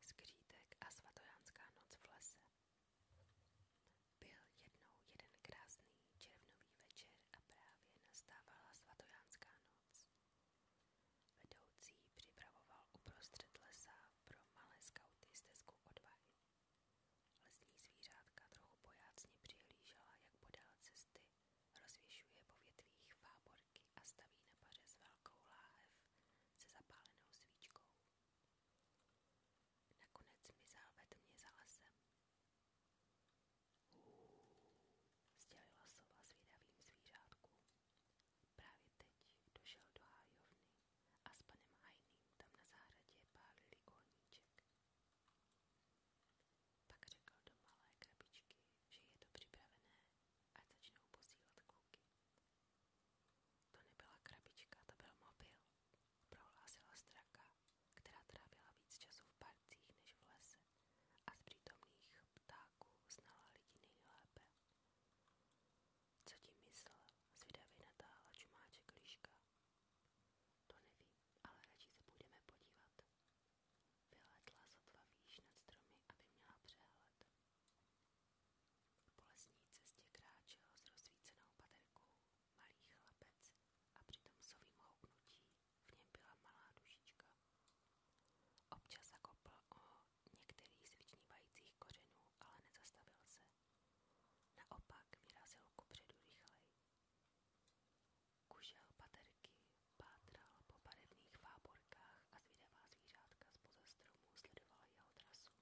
Skřítek a svatojánská noc v lese. Byl jednou jeden krásný červnový večer a právě nastávala svatojánská noc. Vedoucí připravoval uprostřed lesa pro malé skauty stezku odvahy. Lesní zvířátka trochu pojácně přihlížela, jak podél cesty rozvěšuje po větvích fábor horky a staví na pařez velkou láhev se zapálenou svíčkou. Nakonec mizel ve tmě za lesem. Sdělila sova zvědavým zvířátkům. Právě teď došel do hájovny a s panem Hajným tam na zahradě pálili ohníček. Pak řekl do malé krabičky, že je to připravené a začnou posílat kluky. To nebyla krabička, to byl mobil, prohlásila straka, která trávila víc času v parcích než v lese a z přítomných ptáků znala lidi nejlépe. Co tím myslel, zvědavě natáhla čumáček líška. To nevím, ale radši se půjdeme podívat, Vylétla sotva výš nad stromy, aby měla přehled. Po lesní cestě kráčel s rozsvícenou baterkou malý chlapec a při tom sovým houknutí v něm byla malá dušička. Občas zakopl o některých z vyčnívajících kořenů, ale nezastavil se. Naopak vyrazil kupředu rychleji. Kužel baterky Pátral po barevných fáborkách a zvědavá zvířátka spoza stromů sledovala jeho trasu.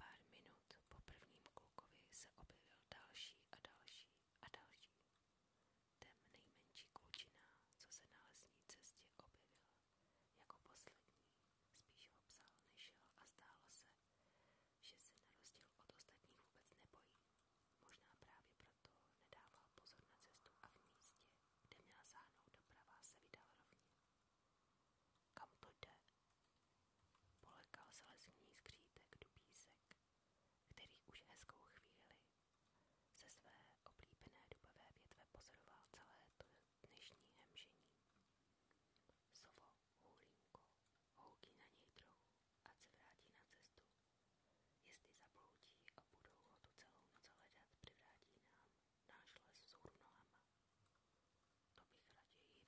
Pár minut po prvním klukovi se objevil další a další a další. Ten nejmenší klučina, co se na lesní cestě objevil, jako poslední, spíš ho psal, nešel a zdálo se, že se na rozdíl od ostatních vůbec nebojí. Možná právě proto nedával pozor na cestu a v místě, kde měl sáhnout doprava, se vydal rovně. Kam to jde? Polekal se lesní skřítek dubísek, který už hezkou chvíli ze své oblíbené dubové větve pozoroval celé to dnešní hemžení. Sovo, hůlínko, houkí na něj trochu, ať se vrátí na cestu, Jestli zabloudí a budou ho tu celou noc hledat, přivrátí nám náš les vzhůru nohama. To bych raději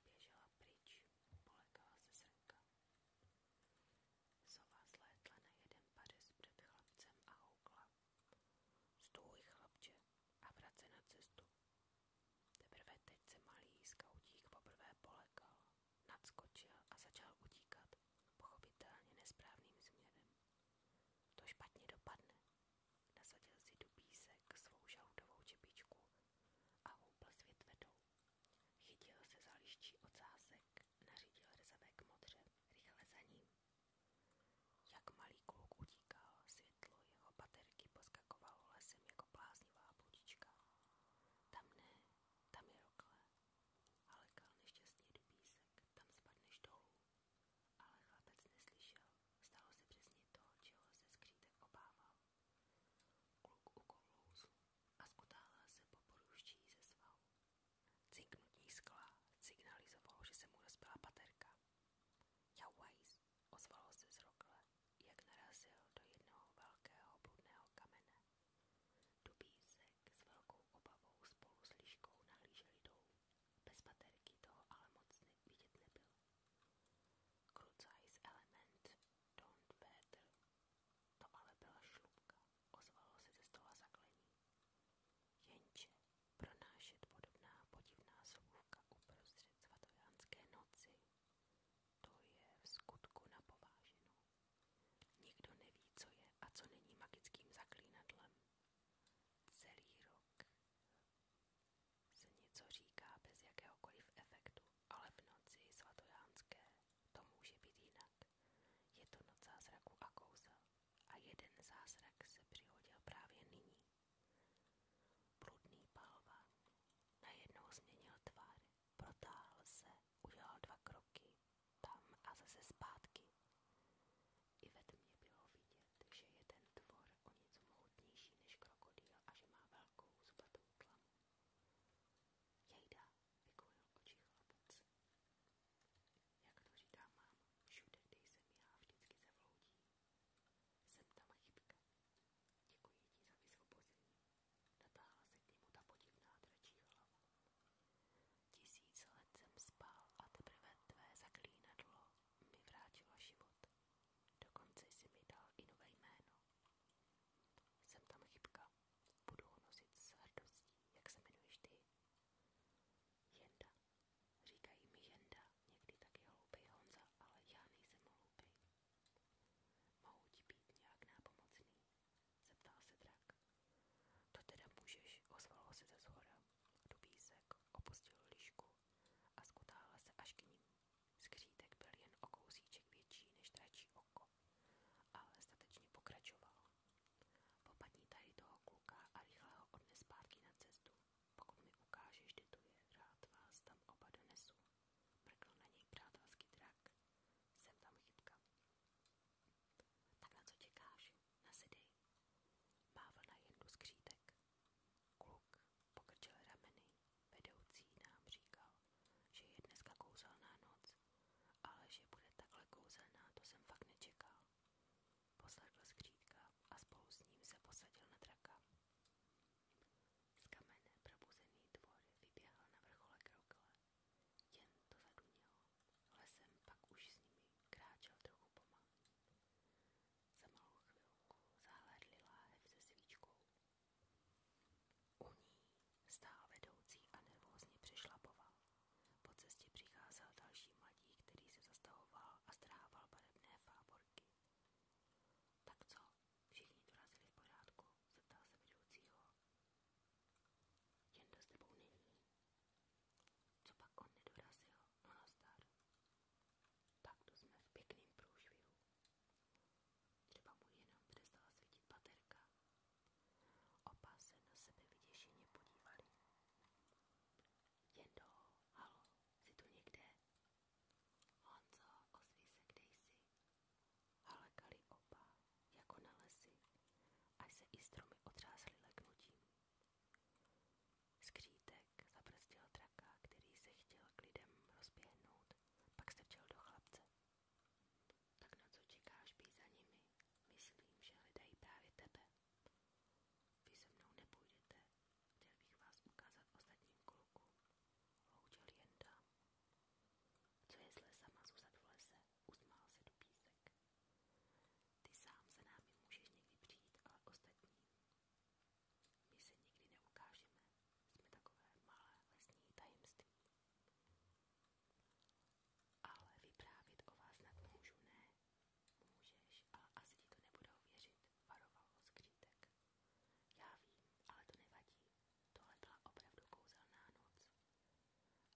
běžela pryč, polekala se srnka. Sova zlétla na jeden pařez před chlapcem a houkla. Stůj, chlapče, a vrať se na cestu. Teprve teď se malý skautík poprvé polekal, nadskočil a začal utíkat pochopitelně nesprávným směrem. To špatně dopadne. Nasadil si do písek svou žaludovou čepičku a houpl s větvedou. Chytil se za liščí ocásek, nařídil rezavé k modře, rychle za ním. Jak malý kluk utíkal, světlo jeho baterky poskakovalo lesem jako bláznivá bludička. Tam ne, tam je rokle, ale kal nešťastně do písek, tam spadneš dolů. Ale chlapec neslyšel, stalo se přesně to, čeho se skřítek obával. Kluk ukousl a skutálel se po poruští ze svahu. Cinknutí skla signalizovalo, že se mu rozbila paterka. Jauajs ozvalo se zrokle, jak narazil do jednoho velkého bludného kamene. Dubísek s velkou obavou spolu s líškou nahlíželi dolů. Bez baterky toho ale moc ne vidět nebyl. Krucajs element, don't Petr. To ale byla šlubka, ozvalo se ze stola zaklení. Jenže pronášet podobná podivná slovůvka uprostřed svatojanské noci, to je v skutku napováženou. Nikdo neví, co je a co není magickým zaklínadlem. Celý rok se něco říká bez jakéhokoliv efektu, ale v noci svatojánské to může být jinak. Je to noc zázraku a kouzel a jeden zázrak se přihodil právě nyní. Prudný palvan najednou změnil tvár, protáhl se udělal dva kroky tam a zase zpátky. I ve tmě bylo vidět, že je ten tvor o něco mohutnější než krokodýl a že má velkou zubatou tlamu. Jejda, vykolil oči chlapec. Jak to říká mám, všude, kde jsem já, vždycky se vloudí. Jsem tam chybka. Děkuji ti za vysvobození. Natáhla se k němu ta podivná dračí hlava. Tisíc let jsem spal a teprve tvé zaklínadlo mi vrátilo život. Dokonce jsi mi dal i nové jméno. Jsem tam chybka. Budu ho nosit s hrdostí, jak se jmenuješ ty. Jenda. Říkají mi Jenda, někdy taky hloupej Honza, ale já nejsem hloupej. Mohu ti být nějak nápomocný zeptal se drak. To teda můžeš, ozvalo se ze zhora. Dubísek opustil lišku a skutáhl se až k ním. Skřítek byl jen o kousíček větší než dračí oko, ale statečně pokračoval. Popadni tady toho kluka a rychle ho odnes zpátky na cestu. Pokud mi ukážeš, kde to je, rád vás tam oba donesu. Mrkl na něj přátelský drak. Jsem tam chybka. Tak na co čekáš? Nasedej. Mávl na jendu skřítek. Kluk pokrčil rameny. Vedoucí nám říkal, že je dneska kouzelná noc, ale že bude takhle kouzelná, to jsem fakt nečekal. Posledl skřítka a spolu s ním se posadil na draka. Z kamene probuzený tvor vyběhl na vrchole kroukle jen to zadunělo. Lesem pak už s nimi kráčel trochu pomalu. Za malou chvilku zahlédli láhev se svíčkou. U ní stál vedoucí a nervózně přešlapoval. Po cestě přicházel další mladík, který se zastavoval a strhával barevné fáborky. Tak co? Všichni dorazili v pořádku, zeptal se vedoucího. Jen to s tebou není, co pak on nedorazil? No nazdar. No, tak to jsme v pěkným průšvihu. Třeba mu jenom přestala svítit baterka. Oba se na sebe vyděšeně podívali. Jendo, halo, jsi tu někde? Honzo, ozví se, kde jsi? Halekali oba jako na lesy, až se i stromy otřásly leknutím. Skřítek zabrzdil traka, který se chtěl k lidem rozběhnout, pak se včel do chlapce. Tak na co čekáš, být za nimi? Myslím, že hledají právě tebe. Vy se mnou nepůjdete, chtěl bych vás ukázat ostatním klukům. Loučil jen dám. Co je s lesama zůstat v lese? Usmál se do písek. Ty sám za námi můžeš někdy přijít, ale ostatní. My se nikdy neukážeme. Jsme takové malé lesní tajemství. Ale vyprávět o vás nad můžu ne. Můžeš, ale asi ti to nebudou věřit, varoval ho skřítek. Já vím, ale to nevadí. Tohle byla opravdu kouzelná noc.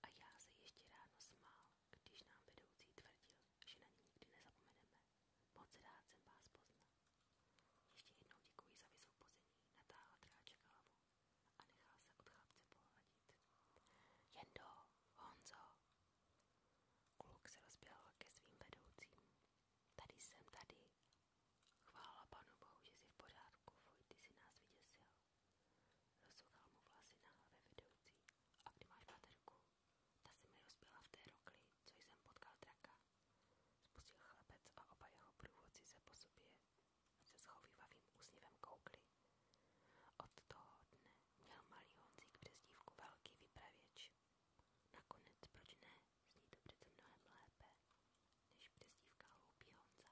A já se ještě ráno smál, když nám vedoucí tvrdil, že na ně nikdy nezapomeneme. Moc rád jsem vás poznal. Ještě jednou děkuji za vysoupození, natáhla dráček hlavu a nechal se od chlapce pohladit. Jendo, Kluk se rozběhl ke svým vedoucím. Tady jsem, tady. Chvála panu že jsi v pořádku, Vojty si nás vyděsil. Rozsuchal mu vlasy na hlavě vedoucí. A kdy máš baterku? Ta se mi rozbila v té rokli, co jsem potkal draka. Spustil chlapec a oba jeho průvodci se po sobě se schovývavým úsměvem koukli. Od toho dne měl malý Honzík přezdívku velký vypravěč. Nakonec, proč ne, zní to přece mnohem lépe, než přezdívka hloupý Honza.